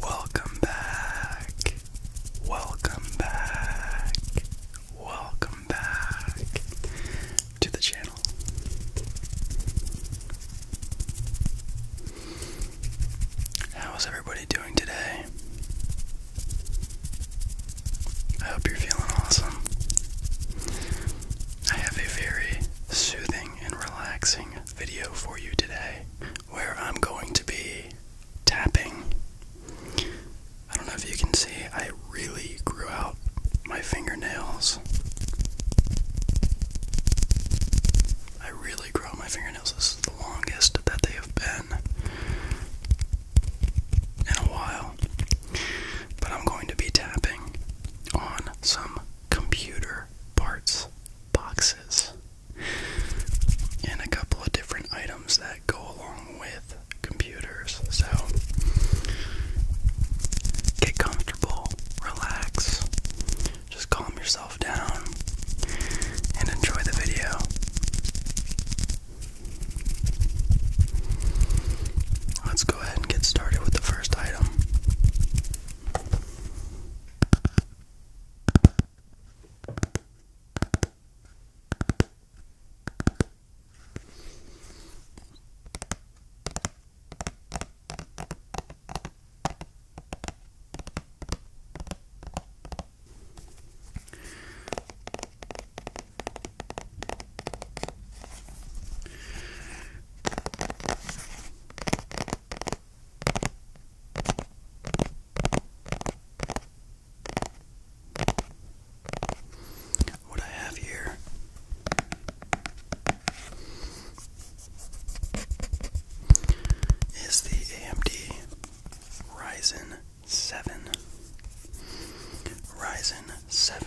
Welcome back. Welcome back. Welcome back to the channel. How is everybody doing today? I hope you're feeling awesome. I have a very soothing and relaxing video for you today where I'm going to be tapping. I don't know if you can see, I really grew out my fingernails. I really grow my fingernails. This is the longest that they have been in a while. But I'm going to be tapping on some computer parts boxes and a couple of different items that go along with computers. So get comfortable, relax, just calm yourself down, and enjoy the video. Let's go ahead and get started with the first item. What I have here is the AMD Ryzen 7. Ryzen 7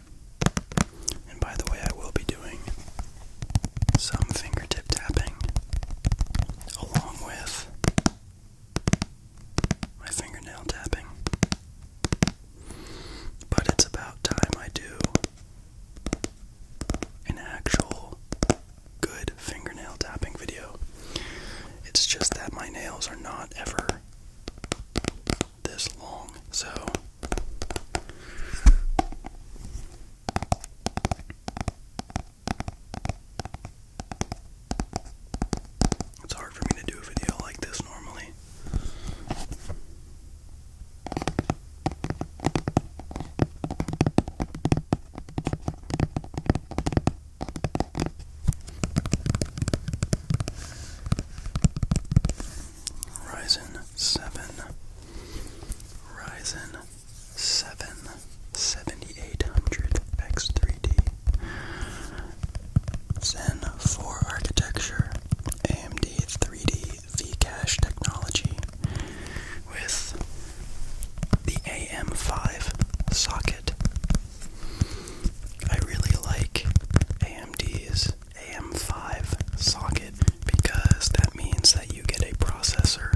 And by the way, I will be doing some fingertip tapping along with my fingernail tapping. But it's about time I do an actual good fingernail tapping video. It's just that my nails are not ever this long, so it's hard for me to do a video like this normally. Ryzen 7, Ryzen 7 7800X3D, Zen 4 architecture, AMD 3D V-Cache technology with the AM5 socket. I really like AMD's AM5 socket because that means that you get a processor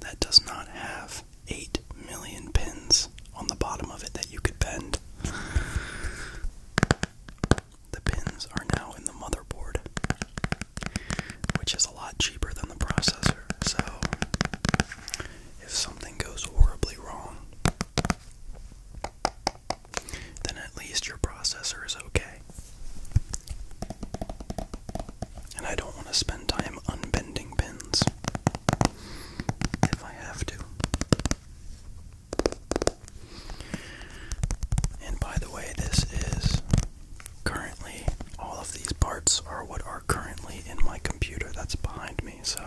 that does not have 8 million pins on the bottom of it that you could bend. The pins are now in the motherboard, which is a lot cheaper than the processor. So, if something goes horribly wrong, then at least your processor is okay. And I don't want to spend time unbending pins if I have to. And by the way, this is currently, all of these parts are what are currently in my computer that's behind me, so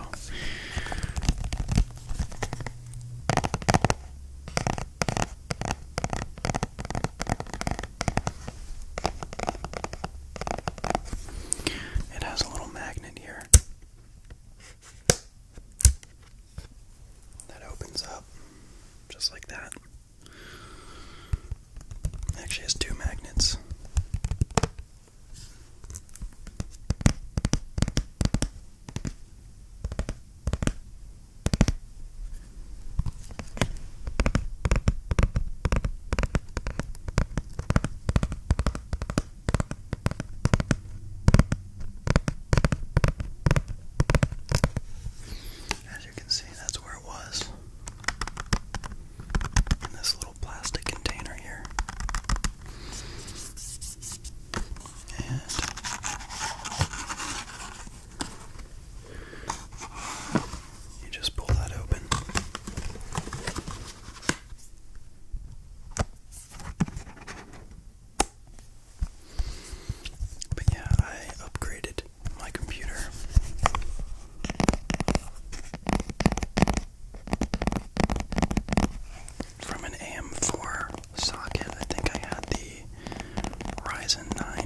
it has a little magnet here that opens up just like that. actually has two magnets. As you can see, that's where it was in this little plastic container here you just pull that open. But yeah, I upgraded my computer. From an AM4 socket. I think I had the Ryzen 9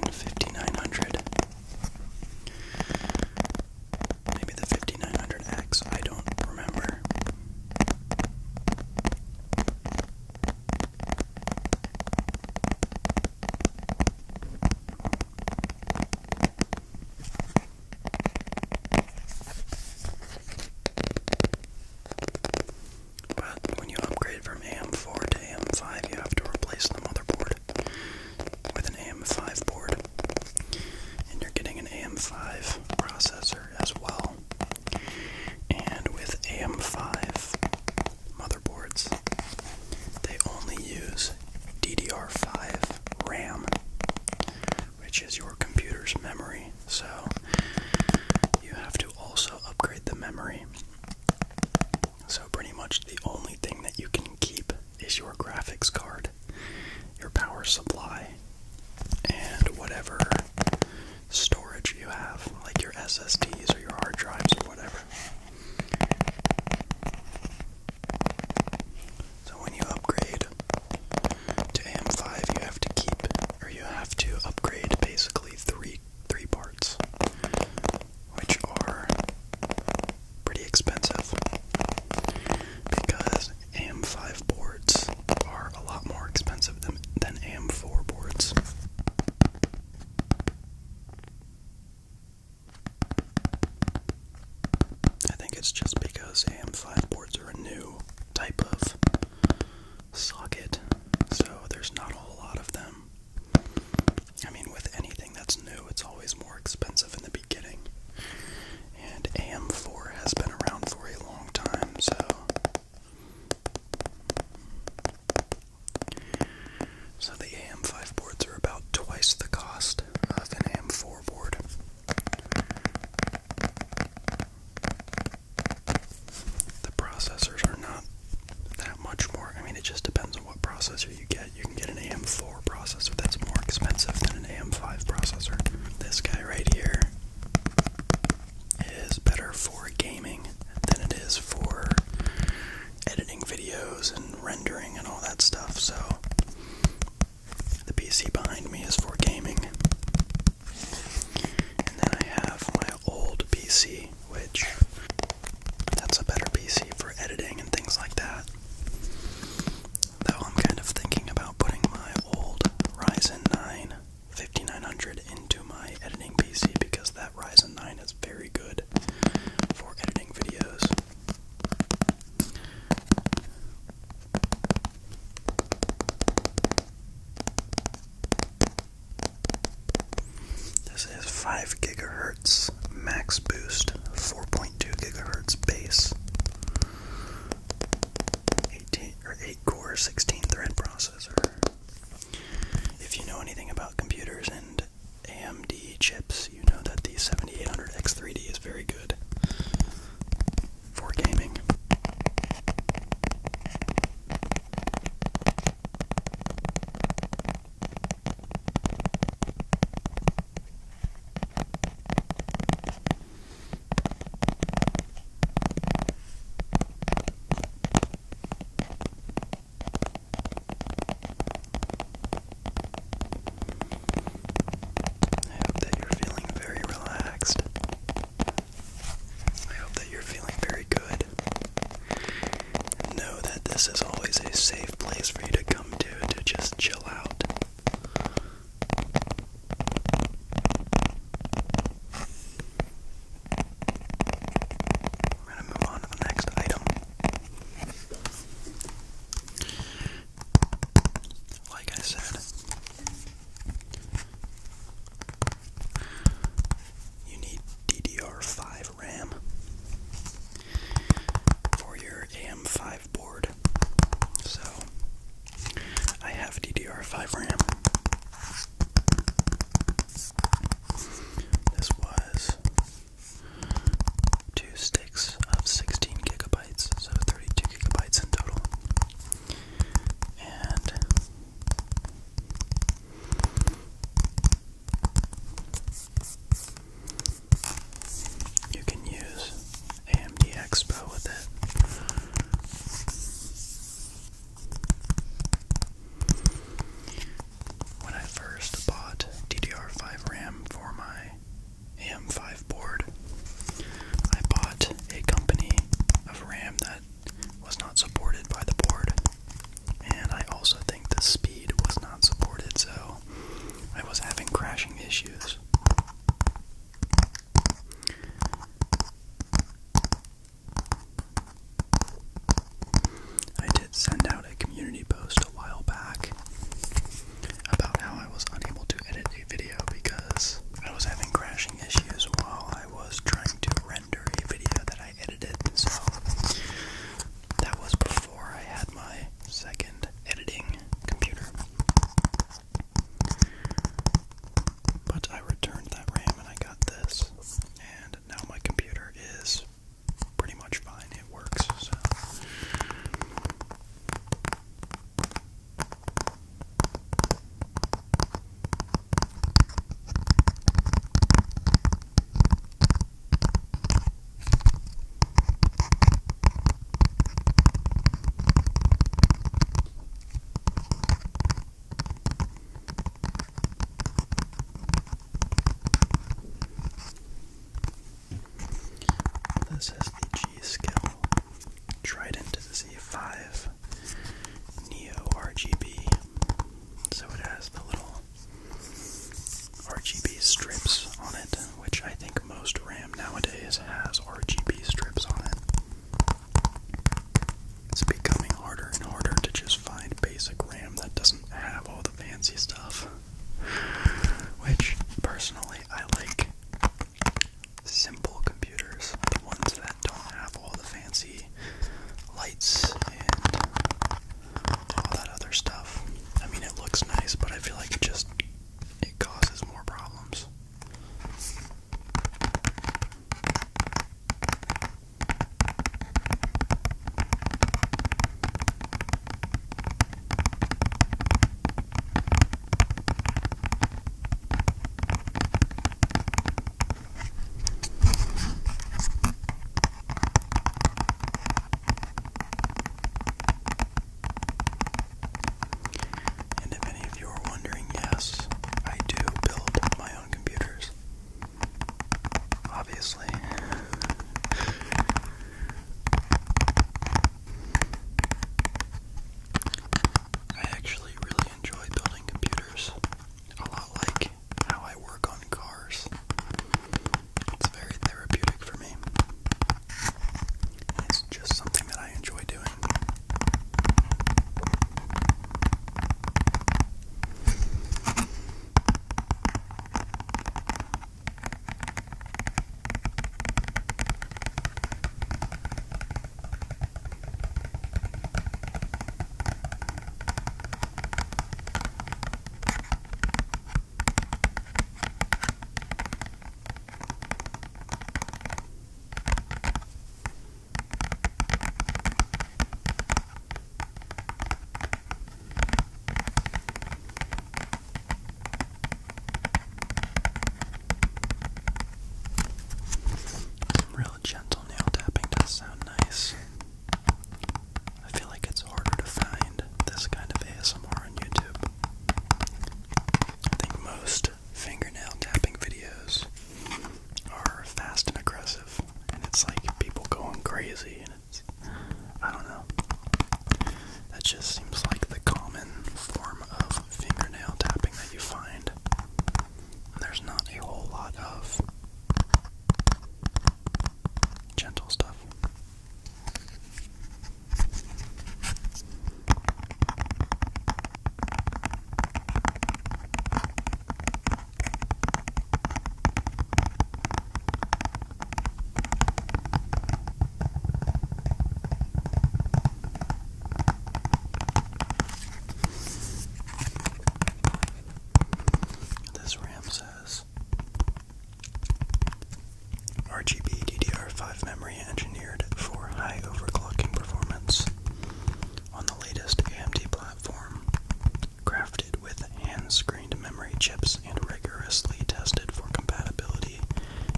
Maybe the 5900X, I don't remember. But when you upgrade from AM4 to AM5, you have to replace the motherboard with an AM5 board. And you're getting an AM5 processor as well. And with AM5 motherboards, they only use DDR5 RAM, which is your computer's memory. So you have to also upgrade the memory. So, pretty much the only thing that you can keep is your graphics card, your power supply, and whatever storage you have, like your SSDs or your hard drives or whatever. So, when you upgrade to AM5, you have to keep, or you have to upgrade basically three three parts, which are pretty expensive because AM5 boards are a lot more expensive than, than AM4 boards. I think it's just because AM5 boards are a new type of socket, so there's not a whole lot of them. I mean, with anything that's new, it's always more expensive in the beginning. And AM4 has been around for a long time, so. So the AM5 boards are about twice the cost of an AM4 board. The processors are not that much more. I mean, it just depends on what processor you get. You can get an AM4 processor that's more expensive than an AM5 processor. This guy right here is better for gaming than it is for editing videos and rendering and all that stuff. So the PC behind me is for gaming. And then I have my old PC, which that's a better PC for editing and things like that. Though I'm kind of thinking about putting my old Ryzen 9 5900 into my editing PC because that Ryzen 9 is very good for editing videos. This is 5 gigahertz max boost, 4.2 gigahertz base, 18 or 8 core, 16 thread processor. If you know anything about computers and AMD chips, you know that the 7800X3D is very good for gaming. I hope that you're feeling very relaxed I hope that you're feeling very good. Know that this is always a safe place for you to come to to just chill out. We're gonna move on to the next item. Like I said, you need DDR5 RAM for your AM5 board. So I have DDR5 RAM. This was two sticks of 16 gigabytes, so 32 gigabytes in total. And you can use AMD Expo with it. When I first bought DDR5 RAM for my AM5 board, I bought a company of RAM that was not supported by the board. And I also think the speed was not supported, so I was having crashing issues. I did send out a community post a while back about how I was unable to edit a video because I was having crashing issues while I was trying to a video that I edited, so that was before I had my second editing computer. But I returned that RAM and I got this, and now my computer is pretty much fine. It works, this is the G skill the Z5 Neo RGB so it has the little RGB strips on it, which I think most RAM nowadays has RGB strips on it. It's becoming harder and harder to just find basic RAM that doesn't have all the fancy stuff, which personally I like. Simple computers, the ones that don't have all the fancy lights and all that other stuff. I mean, it looks nice, but I feel like it just it causes more problems. And if any of you are wondering, yes, I do build my own computers. Obviously. I actually really enjoy building computers. A lot like how I work on cars. It's very therapeutic for me. It's just something that I enjoy doing. Some real gentle nail tapping does sound nice. I feel like it's harder to find this kind of ASMR on YouTube. I think most fingernail tapping videos are fast and aggressive, and it's like people going crazy, and it's. I don't know. That just seems like the common form of fingernail tapping that you find. There's not a whole lot of Gentle stuff. This RAM says RGB DDR5 memory engineered for high overclocking performance on the latest AMD platform, crafted with hand screened memory chips and rigorously tested for compatibility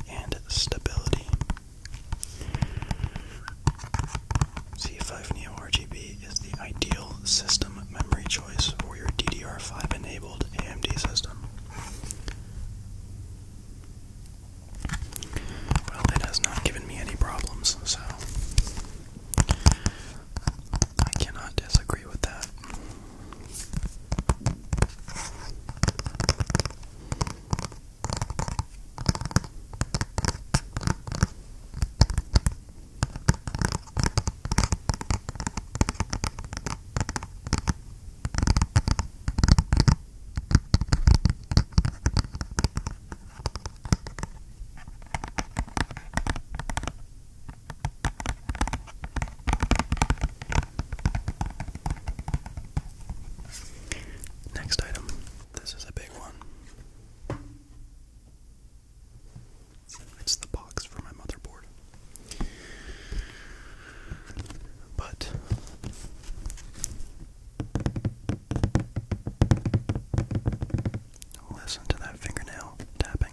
and stability. C5Neo RGB is the ideal system memory choice for your DDR5 enabled AMD system. Well, it has not given me any problems, so I cannot disagree with that. Next item. This is a big one. It's the box for my motherboard. But listen to that fingernail tapping.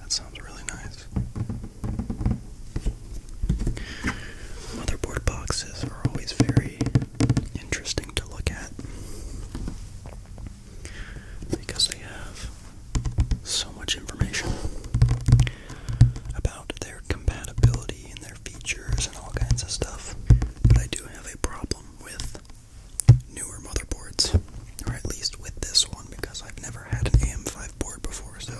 That sounds really nice. Motherboard boxes are always very interesting to look at because they have so much information about their compatibility and their features and all kinds of stuff. But I do have a problem with newer motherboards, or at least with this one, because I've never had an AM5 board before, so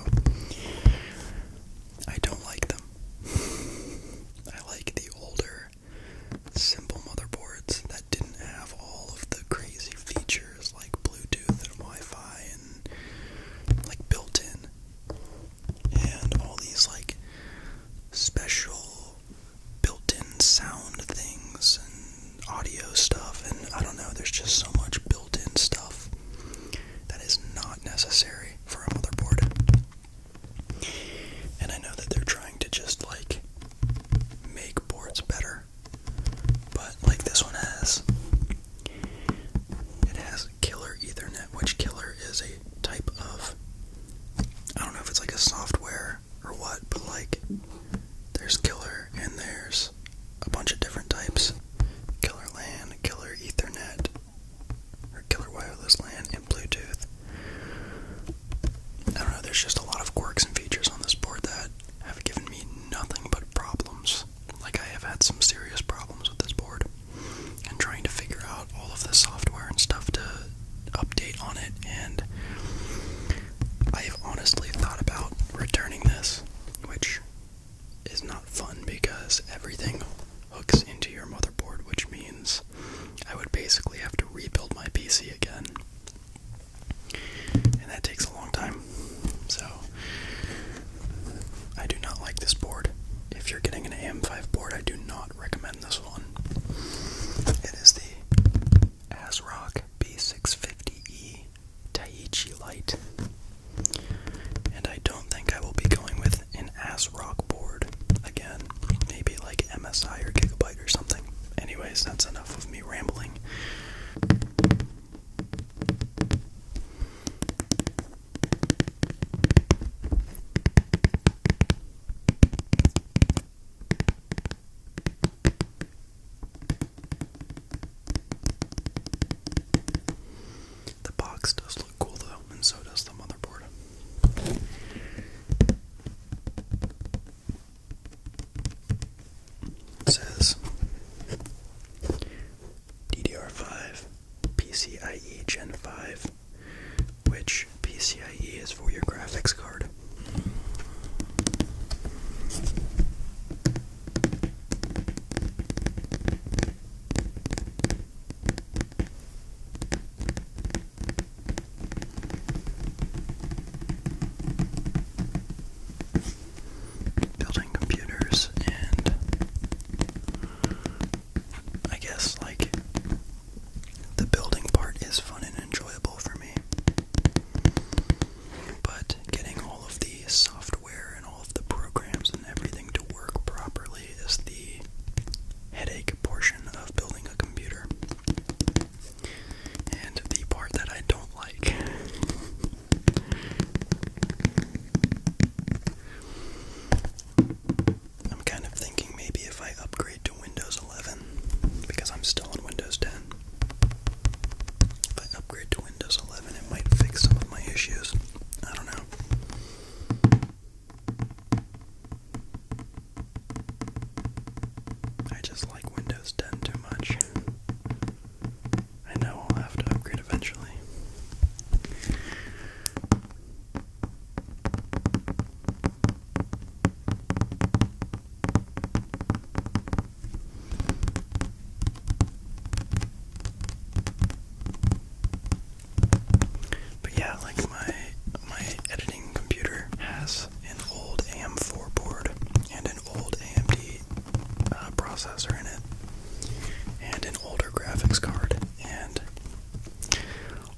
I don't like them. I like the older, simple motherboards that didn't have all of the crazy features like Bluetooth and Wi Fi and like built in and all these like special built-in sound things and audio stuff and I don't know there's just so much built-in stuff that is not necessary for a motherboard. And I know that they're trying to just like make boards better. But like this one has it has killer ethernet which killer is a type of I don't know if it's like a software or what, but like there's killer and there's a bunch of different types. Killer LAN, killer Ethernet, or killer wireless LAN and Bluetooth. I don't know, there's just a lot of quirks and features on this board that have given me nothing but problems. Like I have had some serious problems with this board and trying to figure out all of the software and stuff to update on it. And I've honestly thought about returning this, which is not fun because everything hooks into your motherboard, which means I would basically have to rebuild my PC again. And that takes a long time. So, I do not like this board. If you're getting an AM5 board, I do not not recommend this one. It is the ASRock B650E Taiichi Light. And I don't think I will be going with an ASRock board again. Maybe like MSI or Gigabyte or something. Anyways, that's enough of me rambling. The box does look cool though, and so does the motherboard. says DDR5 PCIe Gen 5 which PCIe is for your graphics card. Building computers and I guess like the building part is fun and enjoyable for me. But getting all of the software and all of the programs and everything to work properly is the headache portion of building a computer. And the part that I don't like. I'm kind of thinking maybe if I upgrade to Windows 11, because I'm still on Windows 10. If I upgrade to Windows 11, it might fix some of my issues. I don't know. I just like Windows 10 too much. I know I'll have to upgrade eventually. But yeah, like my my editing computer has an old AM4 board and an old AMD uh, processor in it and an older graphics card and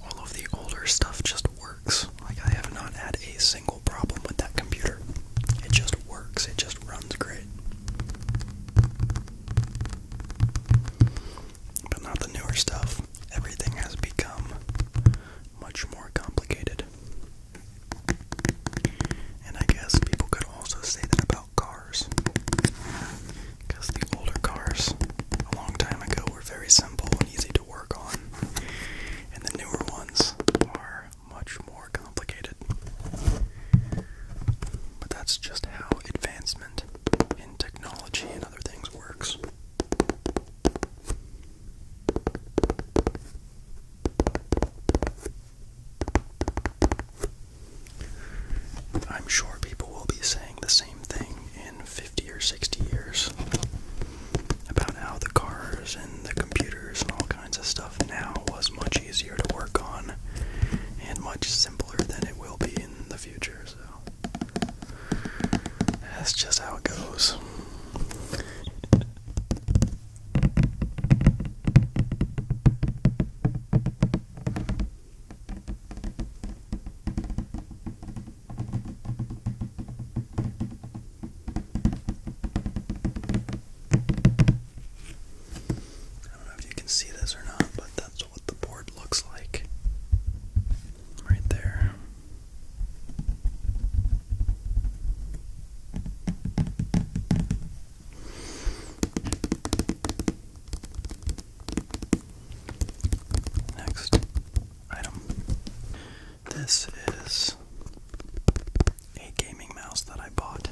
all of the older stuff just works. Like, I have not had a single problem with that computer. It just works, it just runs great. But not the newer stuff. Everything has become much more complicated. And I guess people could also say that about cars. Because the older cars, a long time ago, were very simple and easy to work on, and the newer ones are much more complicated. But that's just how advancement in technology and other things works. I'm sure people will be saying the same thing 50 or 60 years about how the cars and the computers and all kinds of stuff now was much easier to work on and much simpler than it will be in the future. So that's just how it goes. I don't know if you can see this or not, but that's what the board looks like right there. Next, item. This is a gaming mouse that I bought.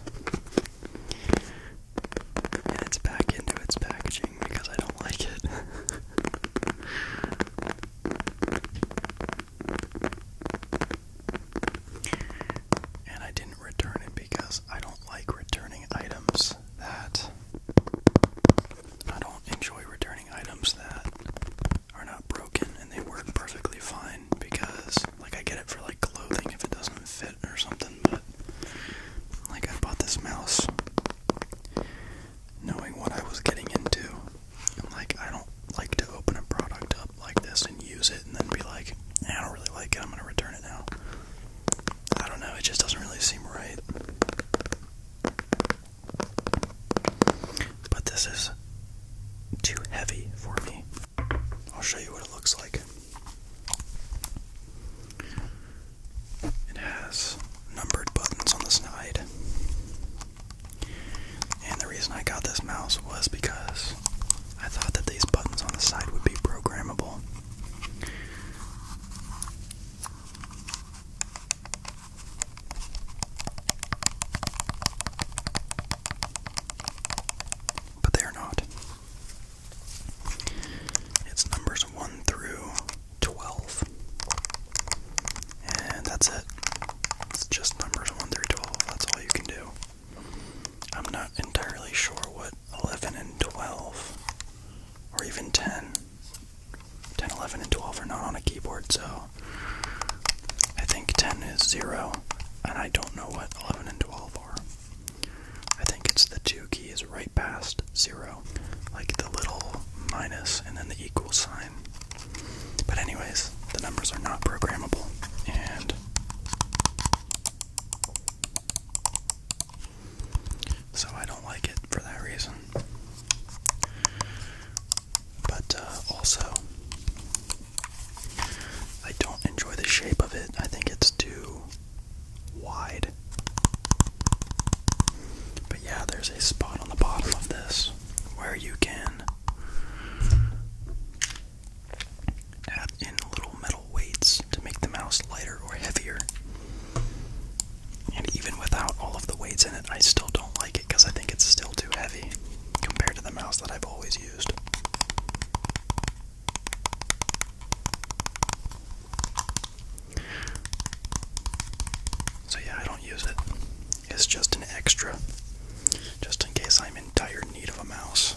And it's back into its packaging because I don't like it. and I didn't return it because I don't like returning items that I don't enjoy returning items that are not broken and they work perfectly fine because like I get it for like clothing if it doesn't fit or something but like I bought this mouse knowing what I was getting into like I don't like to open a product up like this and use it and then be like I don't really like it I'm gonna return it now I don't know it just doesn't really seem right but this is too heavy for me. I'll show you what it looks like. It has numbered buttons on the side. And the reason I got this mouse was because I thought that these buttons on the side would be programmable. But they are not. It's numbers 1 through 12. And that's it. It's just numbers 1 through 12. That's all you can do. I'm not entirely sure what 11 and 12 or even 10. 10, 11, and 12 are not on a keyboard, so I think 10 is 0, and I don't know what 11 and 12 are. I think it's the 2 key is right past 0, like the little minus and then the equal sign. But, anyways, the numbers are not programmable, and so I don't like it for that reason. But uh, also, I don't enjoy the shape of it. I think it's too wide. But yeah, there's a spot on the bottom of this where you can add in little metal weights to make the mouse lighter or heavier. And even without all of the weights in it, I still don't like it because I think it's still too heavy compared to the mouse that I've always used. So, yeah, I don't use it. It's just an extra, just in case I'm in dire need of a mouse.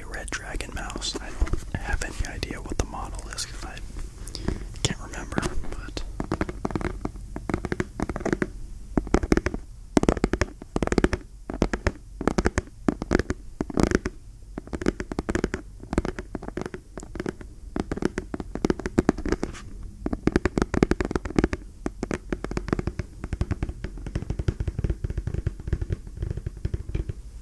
a Red Dragon mouse. I don't have any idea what the model is because I can't remember,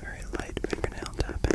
Very light fingernail tapping.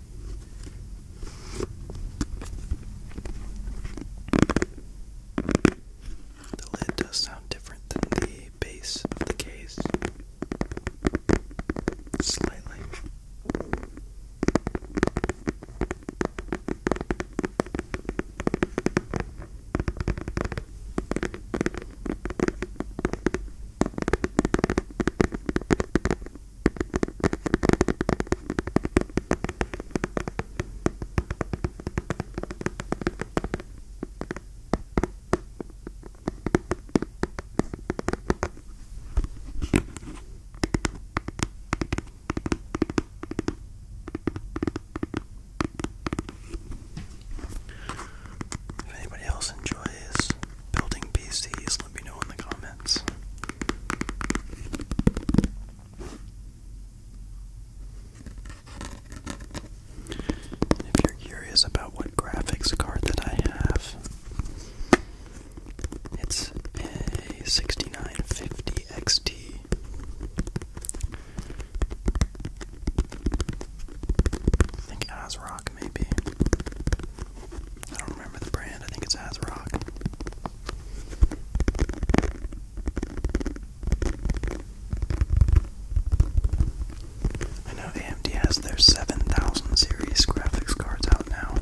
The lid does sound different than the base of the case. Slightly. If anybody else enjoys building PCs? Let me know in the comments. If you're curious about what graphics card that I have, it's a 6950 XT. I think ASRock maybe. I don't remember the brand. I think it's ASRock. I know AMD has their 7000 series graphics cards out now.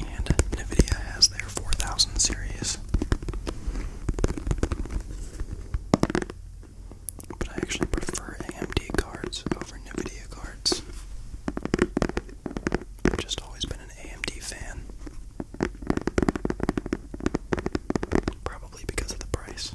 And NVIDIA has their 4000 series. But I actually prefer AMD cards over NVIDIA cards. I've just always been an AMD fan. Probably because of the price.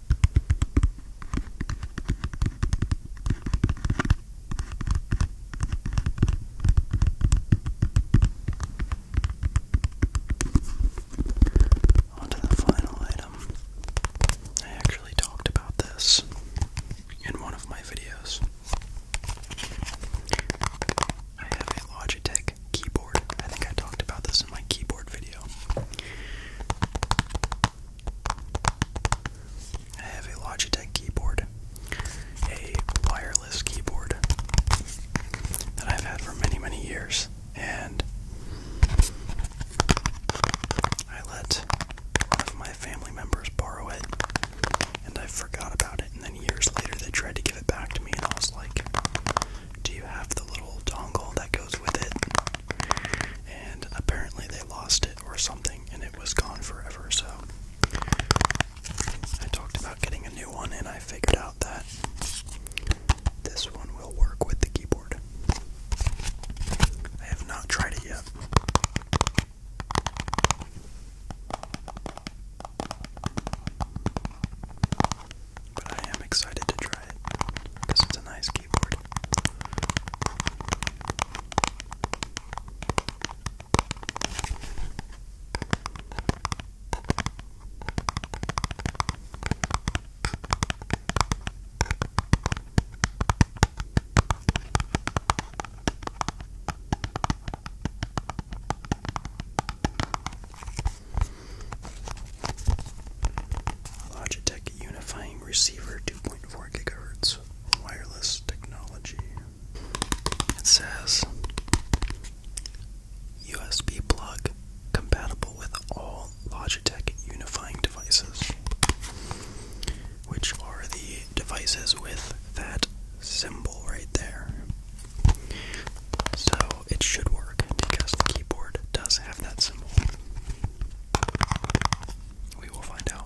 On the final item. I actually talked about this in one of my videos. I have a Logitech keyboard. I think I talked about this in my keyboard video. I have a Logitech keyboard, a wireless keyboard that I've had for many, many years, and I let one of my family members borrow it, and I forgot about it. And then years later, they tried to give it back to me, and I was like, Do you have the little dongle that goes with it? and apparently they lost it or something and it was gone forever so I talked about getting a new one and I figured out that this one will work with the keyboard. I have not tried it yet. But I am excited to try it because it's a nice keyboard. Logitech Unifying Receiver 2.4 gigahertz wireless technology. It says USB plug compatible with all Logitech unifying devices, which are the devices with that symbol right there. So it should work because the keyboard does have that symbol. We will find out.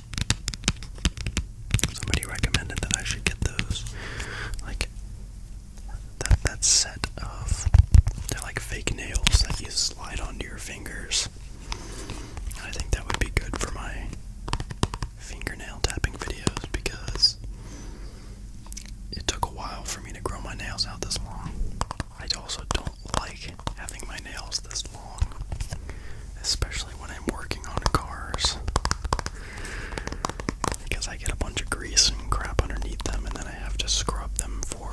Somebody recommended that I should get those, like that that set of they're like fake nails that you slide onto your fingers. I think that would be good for my fingernail tapping videos because it took a while for me to grow my nails out this long. I also don't like having my nails this especially when I'm working on cars. Because I get a bunch of grease and crap underneath them, and then I have to scrub them for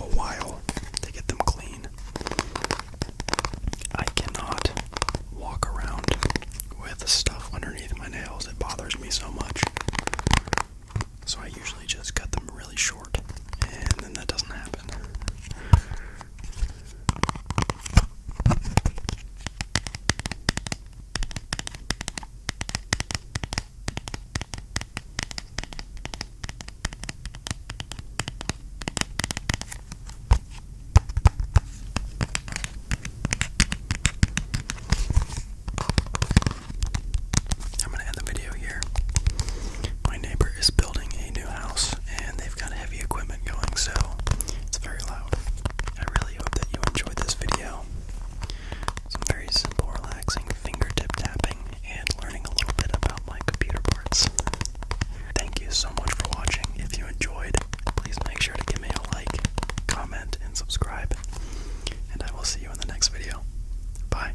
a while to get them clean. I cannot walk around with stuff underneath my nails, it bothers me so much. So I usually just cut them really short, and then that doesn't happen. I'm going to end the video here. My neighbor is building a new house and they've got heavy equipment going, so it's very loud. I really hope that you enjoyed this video. Some very simple, relaxing fingertip tapping and learning a little bit about my computer parts. Thank you so much for watching. If you enjoyed, please make sure to give me a like, comment, and subscribe. And I will see you in the next video. Bye.